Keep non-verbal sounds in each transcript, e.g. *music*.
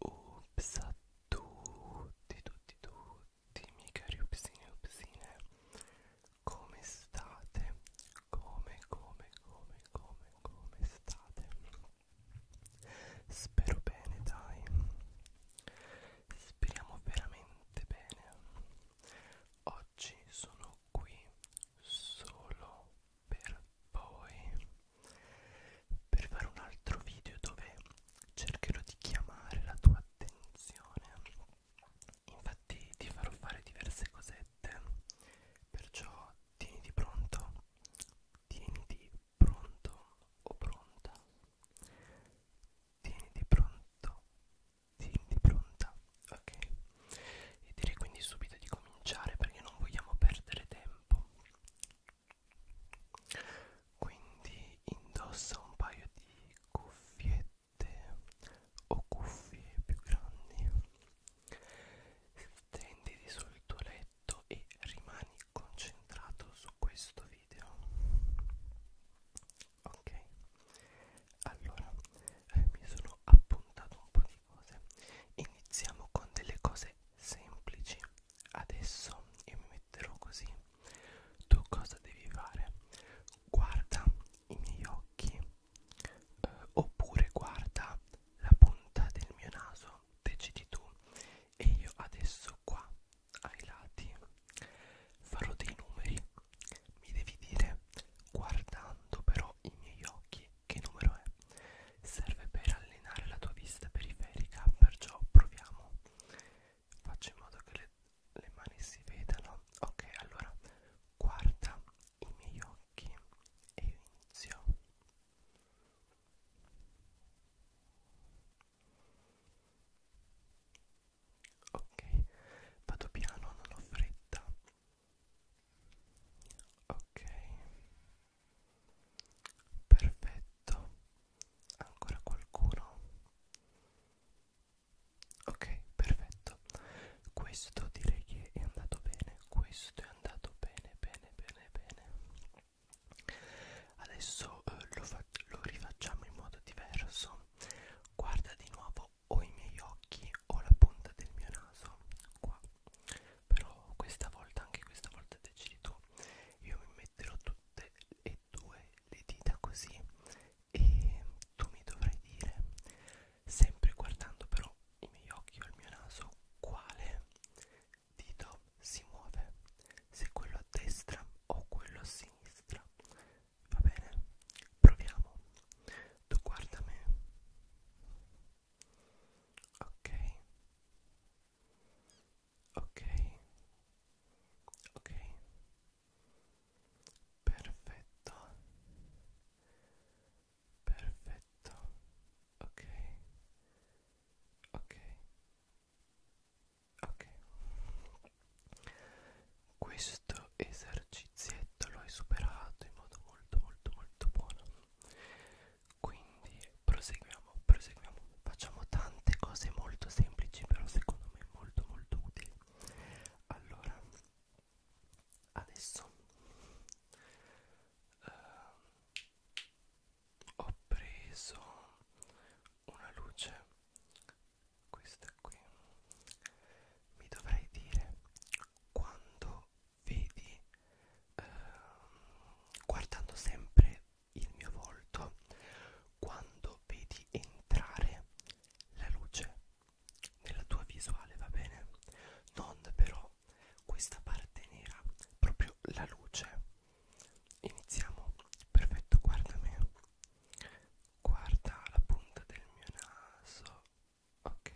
Ups a tutti, tutti, tutti, miei cari upsini Come state? Come, come, come, come, come state? Spero bene, dai. Speriamo veramente bene. Oggi sono qui solo per voi per fare un altro video dove cercherò di chiamare la tua attenzione. Infatti ti farò fare diverse cosette, perciò tieniti pronto, tieniti pronto o pronta tieniti pronto tieniti pronta ok e direi quindi subito di cominciare perché non vogliamo perdere tempo quindi indossa un paio di cuffiette o cuffie più grandi stenditi sul tuo letto e rimani concentrato su questo video ok allora eh, mi sono appuntato un po' di cose iniziamo con delle cose semplici adesso io mi metterò così tu cosa devi fare guarda i miei occhi eh, oppure guarda la punta del mio naso decidi tu e io adesso qua ai lati farò dei numeri mi devi dire guardando però i miei occhi che numero è serve per allenare la tua vista periferica perciò proviamo faccio in modo che le, le mani si vedano ok allora guarda i miei occhi e io inizio Ok, vado piano, non ho fretta. Ok, perfetto. Ancora qualcuno? Ok, perfetto. Questo direi che è andato bene. Questo è andato bene, bene, bene, bene adesso eh, lo, lo rifacciamo in modo diverso guarda di nuovo o i miei occhi o la punta del mio naso qua però questa volta anche questa volta decidi tu io mi metterò tutte e due le dita così e tu mi dovrai dire sempre guardando però i miei occhi o il mio naso quale dito si muove se quello a destra o quello a sinistra va bene proviamo tu guarda me ok ok ok perfetto perfetto ok ok ok questo esercizietto lo hai superato in modo molto molto molto buono quindi proseguiamo proseguiamo facciamo tante cose molto semplici però secondo me molto molto utili allora adesso uh, ho preso una luce questa qui mi dovrei dire quando vedi eh, guardando sempre il mio volto quando vedi entrare la luce nella tua visuale va bene non però questa parte nera, proprio la luce. Iniziamo, perfetto, guarda me, guarda la punta del mio naso, ok,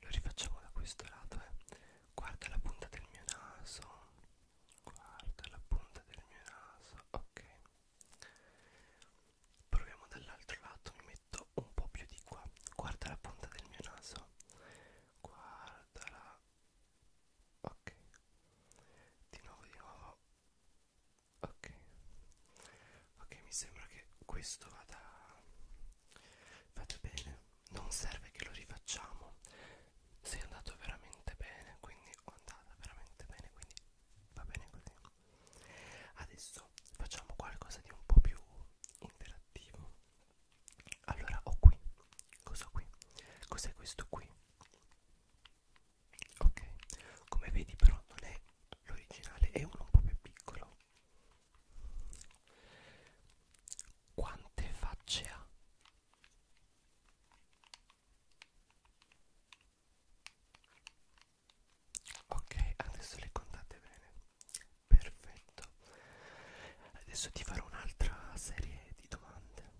lo rifacciamo da questo lato, eh. guarda la punta del mio naso, guarda la punta del mio naso, ok. Proviamo dall'altro lato, mi metto un po' più di qua, guarda la punta del mio naso, guardala ok di nuovo di nuovo ok ok mi sembra che questo vada vada bene non serve che lo rifacciamo se è andato veramente bene quindi o andata veramente bene quindi va bene così adesso facciamo qualcosa di un po' più interattivo allora ho qui, cosa qui? Cos'è questo qui? Ok, come vedi però non è l'originale, è uno un po' più piccolo. Quante facce ha? Ok, adesso le contate bene perfetto adesso ti farò un'altra serie di domande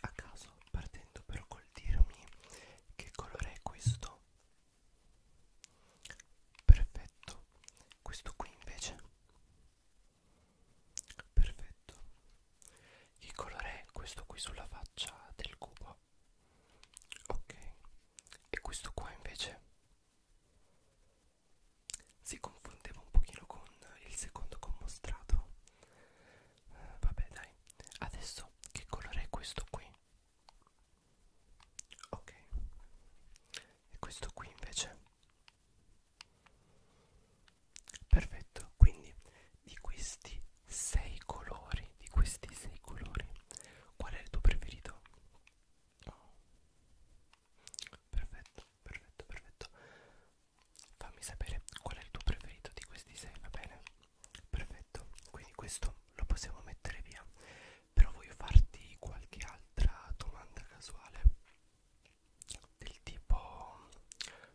a caso partendo però col dirmi che colore è questo perfetto questo qui invece perfetto che colore è questo qui sulla faccia del cubo ok e questo qua invece si confondeva un pochino con il secondo commostrato eh, vabbè dai adesso che colore è questo qui ok e questo qui invece perfetto quindi di questi sei colori di questi sei colori qual è il tuo preferito perfetto perfetto, perfetto. Fammi sapere qual è il tuo preferito di questi sei, va bene? Perfetto, quindi questo lo possiamo mettere via. Però voglio farti qualche altra domanda casuale. Del tipo,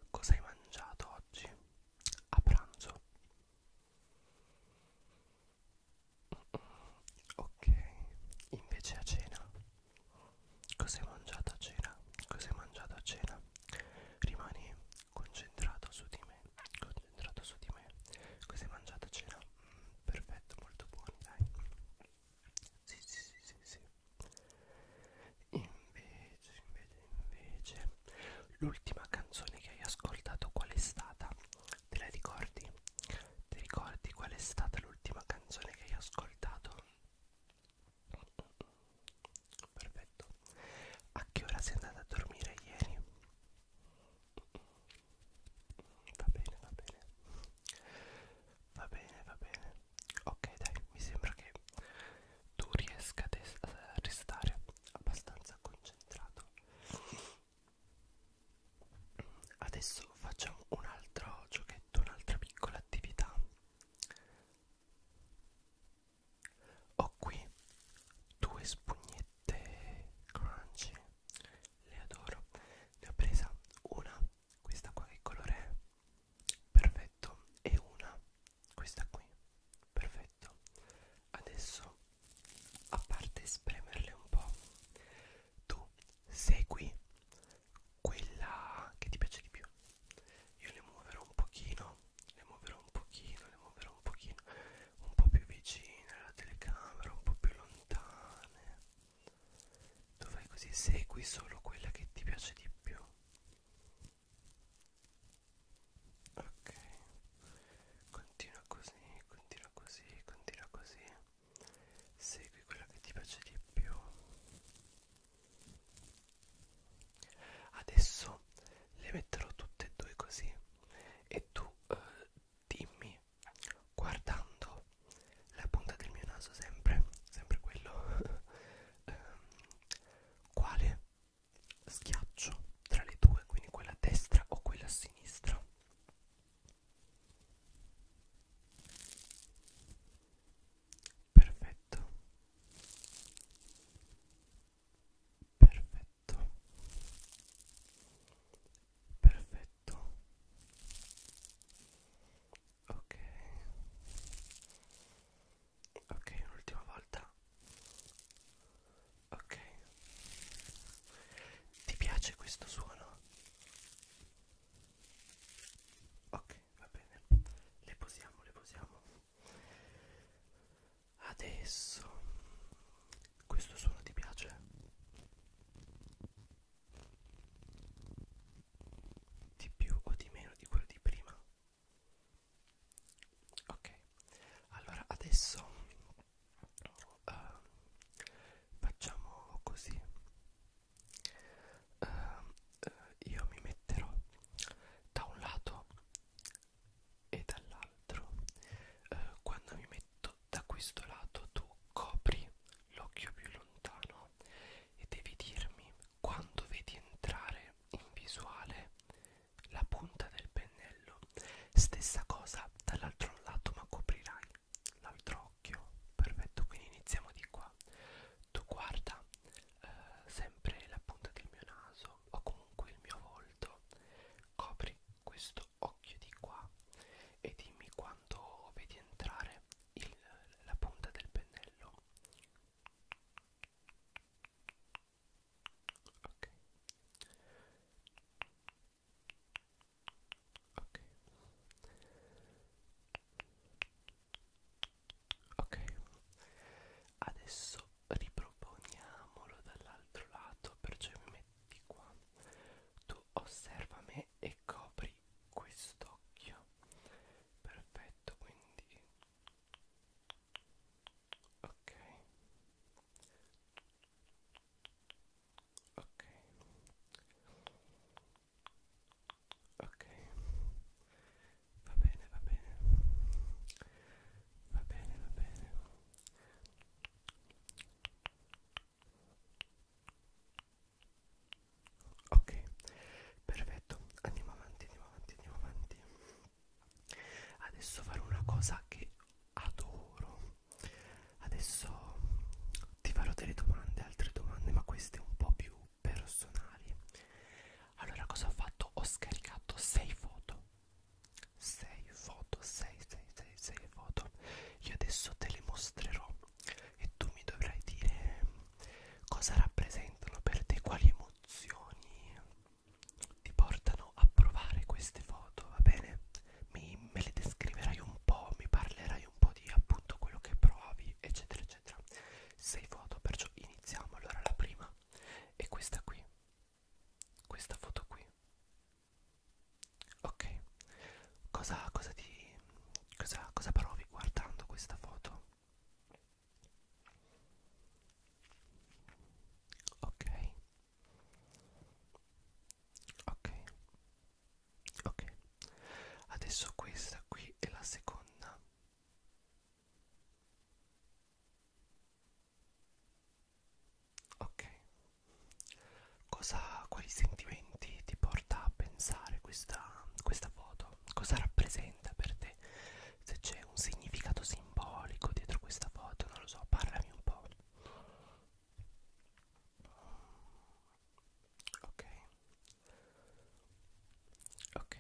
cosa hai mangiato oggi a pranzo? Ok, invece a cena Cosa hai mangiato a cena? Cosa hai mangiato a cena? Rimani concentrato su di me. Concentrato su di me. Cosa hai mangiato a cena? Mm, perfetto, molto buono, dai. Sì, sì, sì, sì, sì. Invece, invece, invece, l'ultima canzone che hai ascoltato qual è stata? Te la ricordi? Ti ricordi qual è stata l'ultima canzone che hai ascoltato? Perfetto. A che ora sei andata a dormire ieri? Va bene, va bene. Va bene, va bene. Ok, dai, mi sembra che tu riesca a restare abbastanza concentrato adesso facciamo un altro giochetto un'altra piccola attività ho qui due spugnette crunchy le adoro ne ho presa una questa qua che colore è perfetto e una questa qui perfetto adesso a parte spremerle un po tu segui quella che ti piace di più io le muoverò un pochino le muoverò un pochino le muoverò un pochino un po' più vicine alla telecamera un po' più lontane tu fai così segui solo quella che ti piace di più ok continua così continua così continua così segui quello che ti piace di più adesso le metterò tutte e due così e tu eh, dimmi guardando la punta del mio naso sempre sempre quello *laughs* ehm, quale schiaccio tra le due quindi quella a destra o quella a sinistra Perfetto. Perfetto. Perfetto. Ok. Ok, un'ultima volta. Ok. Ti piace questo suono? ok va bene le posiamo le posiamo adesso questo suono ti piace di più o di meno di quello di prima ok allora adesso uh, facciamo così uh, uh, io mi metterò da un lato e dall'altro uh, quando mi metto da questo lato tu copri l'occhio più lontano e devi dirmi quando vedi entrare in visuale la punta del pennello stessa cosa dall'altro lato ma coprirai l'altro occhio perfetto quindi iniziamo di qua tu guarda eh, sempre la punta del mio naso o comunque il mio volto copri questo occhio di qua e dimmi quando vedi entrare il, la punta del pennello ok ok ok adesso riproponiamolo dall'altro lato perciò mi metti qua tu osserva me e copri quest'occhio perfetto quindi ok ok ok va bene va bene va bene va bene ok perfetto andiamo avanti andiamo avanti andiamo avanti adesso farò una cosa che adoro adesso ti farò delle domande, altre domande, ma queste un po' più personali. Allora, cosa ho fatto? Ho scaricato 6 foto. 6 foto, 6, 6, 6, 6 foto. Io adesso te le mostrerò e tu mi dovrai dire ehm, cosa rappresentano per te, quali emozioni ti portano a provare queste foto, va bene? mi, me le descriverai un po', mi parlerai un po' di appunto quello che provi, eccetera, eccetera. Sei foto, perciò iniziamo. Allora la prima è questa qui, questa foto qui. Ok, cosa, cosa ti, cosa, cosa provi guardando questa foto? Ok, ok ok adesso questa qui è la seconda ok cosa quali sentimenti ti porta a pensare questa questa foto cosa rappresenta per te se c'è un significato simbolico dietro questa foto non lo so parlami un po ok ok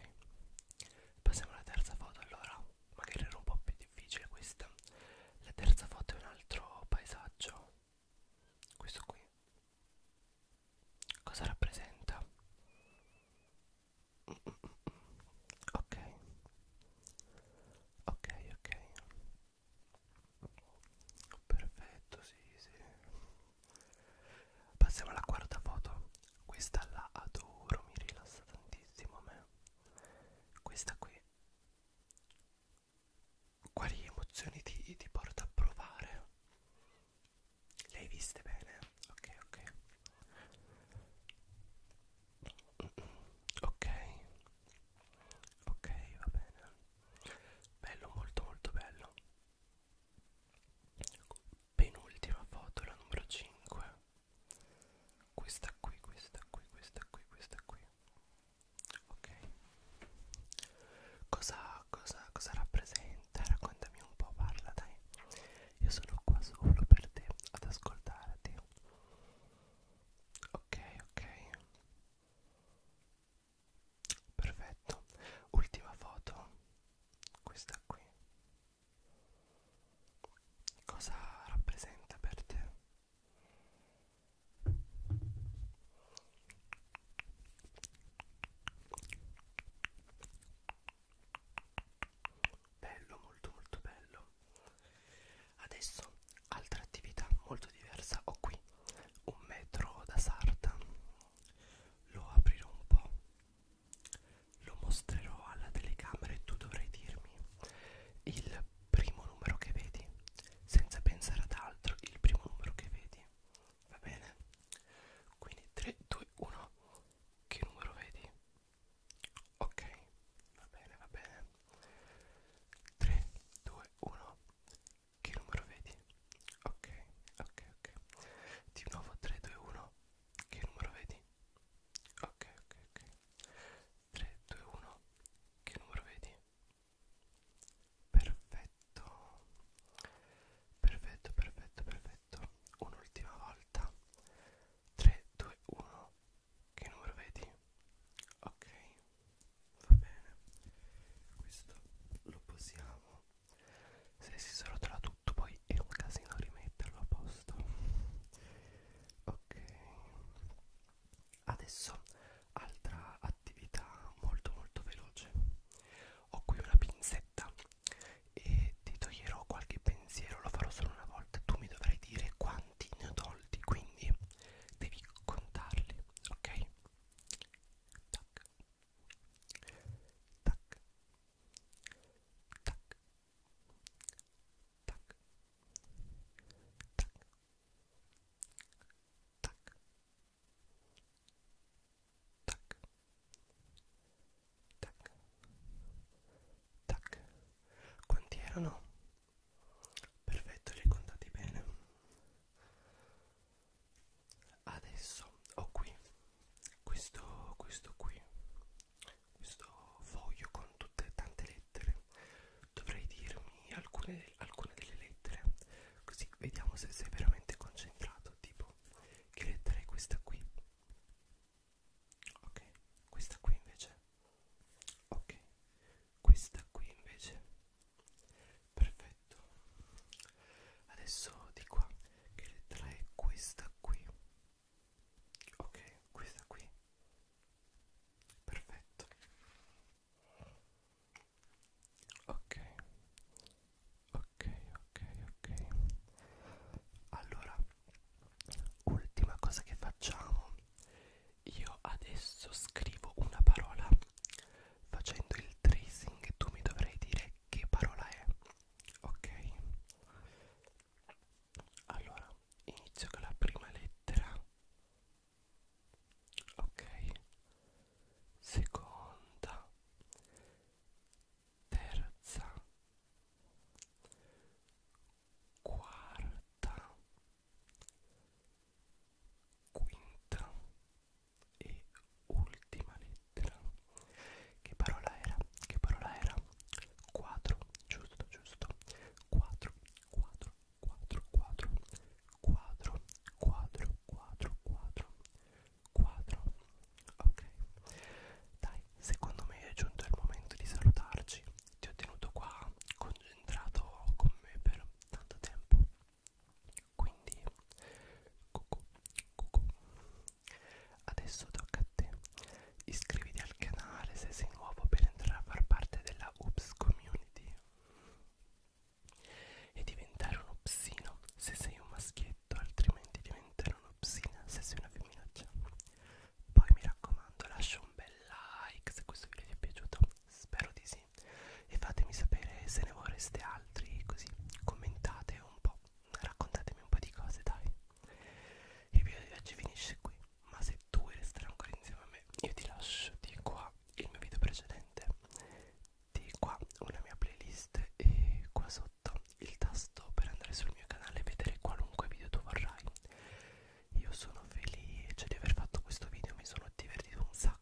passiamo alla terza foto allora magari era un po' più difficile questa la terza foto è un altro paesaggio questo qui cosa rappresenta mm, mm, mm, ok ok ok Perfetto, sì, sì. Passiamo alla quarta foto. Questa la adoro, mi rilassa tantissimo a me. Questa qui. Quali emozioni ti, ti porta a provare? Le hai viste bene? Ok, ok. Mm, mm. Ok, ok, va bene bello molto molto bello penultima foto la numero 5 questa qui questa qui questa qui questa qui ok cosa cosa cosa rappresenta raccontami un po parla dai io sono qua solo per te ad ascoltarti ok ok perfetto ultima foto questa qui cosa rappresenta per te bello molto molto bello adesso altra attività molto diversa ho qui un metro da sarta lo aprirò un po' lo mostrerò alla telecamera e tu dovrai dirmi il primo numero che vedi senza pensare ad altro il primo numero che vedi va bene quindi 3 2 1 che numero vedi ok va bene va bene 3 2 1 che numero vedi? Ok, ok, ok. Di nuovo 3, 2, 1. Che numero vedi? Ok, ok, ok. 3, 2, 1. Che numero vedi? Perfetto. Perfetto, perfetto, perfetto. Un'ultima volta. 3, 2, 1. Che numero vedi? Ok, va bene questo lo posiamo se si srotola tutto poi è un casino rimetterlo a posto ok adesso altra attività molto molto veloce ho qui una pinzetta e ti toglierò qualche pensiero lo farò solo una volta tu mi dovrai dire quanti ne ho tolti quindi devi contarli ok tac tac tac tac tac tac tac tac tac quanti erano perfetto li hai contati bene adesso ho qui questo questo qui questo foglio con tutte tante lettere dovrei dirmi alcune, alcune delle lettere così vediamo se sei veramente concentrato tipo che lettera è questa qui ok questa qui invece ok questa qui invece perfetto adesso di qua che lettera è questa qui ok questa qui perfetto ok ok ok ok allora ultima cosa che facciamo io adesso scrivo una parola facendo il tracing tu mi dovrai dire che parola è ok allora inizio con la prima lettera ok seconda terza quarta quinta e ultima lettera che parola era? che parola era? quadro giusto giusto quadro quadro quadro quadro quadro quadro quadro quadro quadro ok dai secondo me è giunto il momento di salutarci ti ho tenuto qua concentrato con me per tanto tempo quindi, cucù, cucù. Adesso tocca a te. Iscriviti al canale se sei nuovo per entrare a far parte della Ups Community e diventare un upsino se sei un maschietto, altrimenti diventare un'upsina se sei una femminaccia. Poi mi raccomando, lascia un bel like se questo video ti è piaciuto. Spero di sì voi e fatemi sapere se ne vorreste altri così commentate un po' raccontatemi un po' di cose dai il video di oggi finisce qui ma se tu vuoi restare ancora insieme a me io ti lascio di qua il mio video precedente di qua una mia playlist e qua sotto il tasto per andare sul mio canale e vedere qualunque video tu vorrai io sono felice di aver fatto questo video mi sono divertito un sacco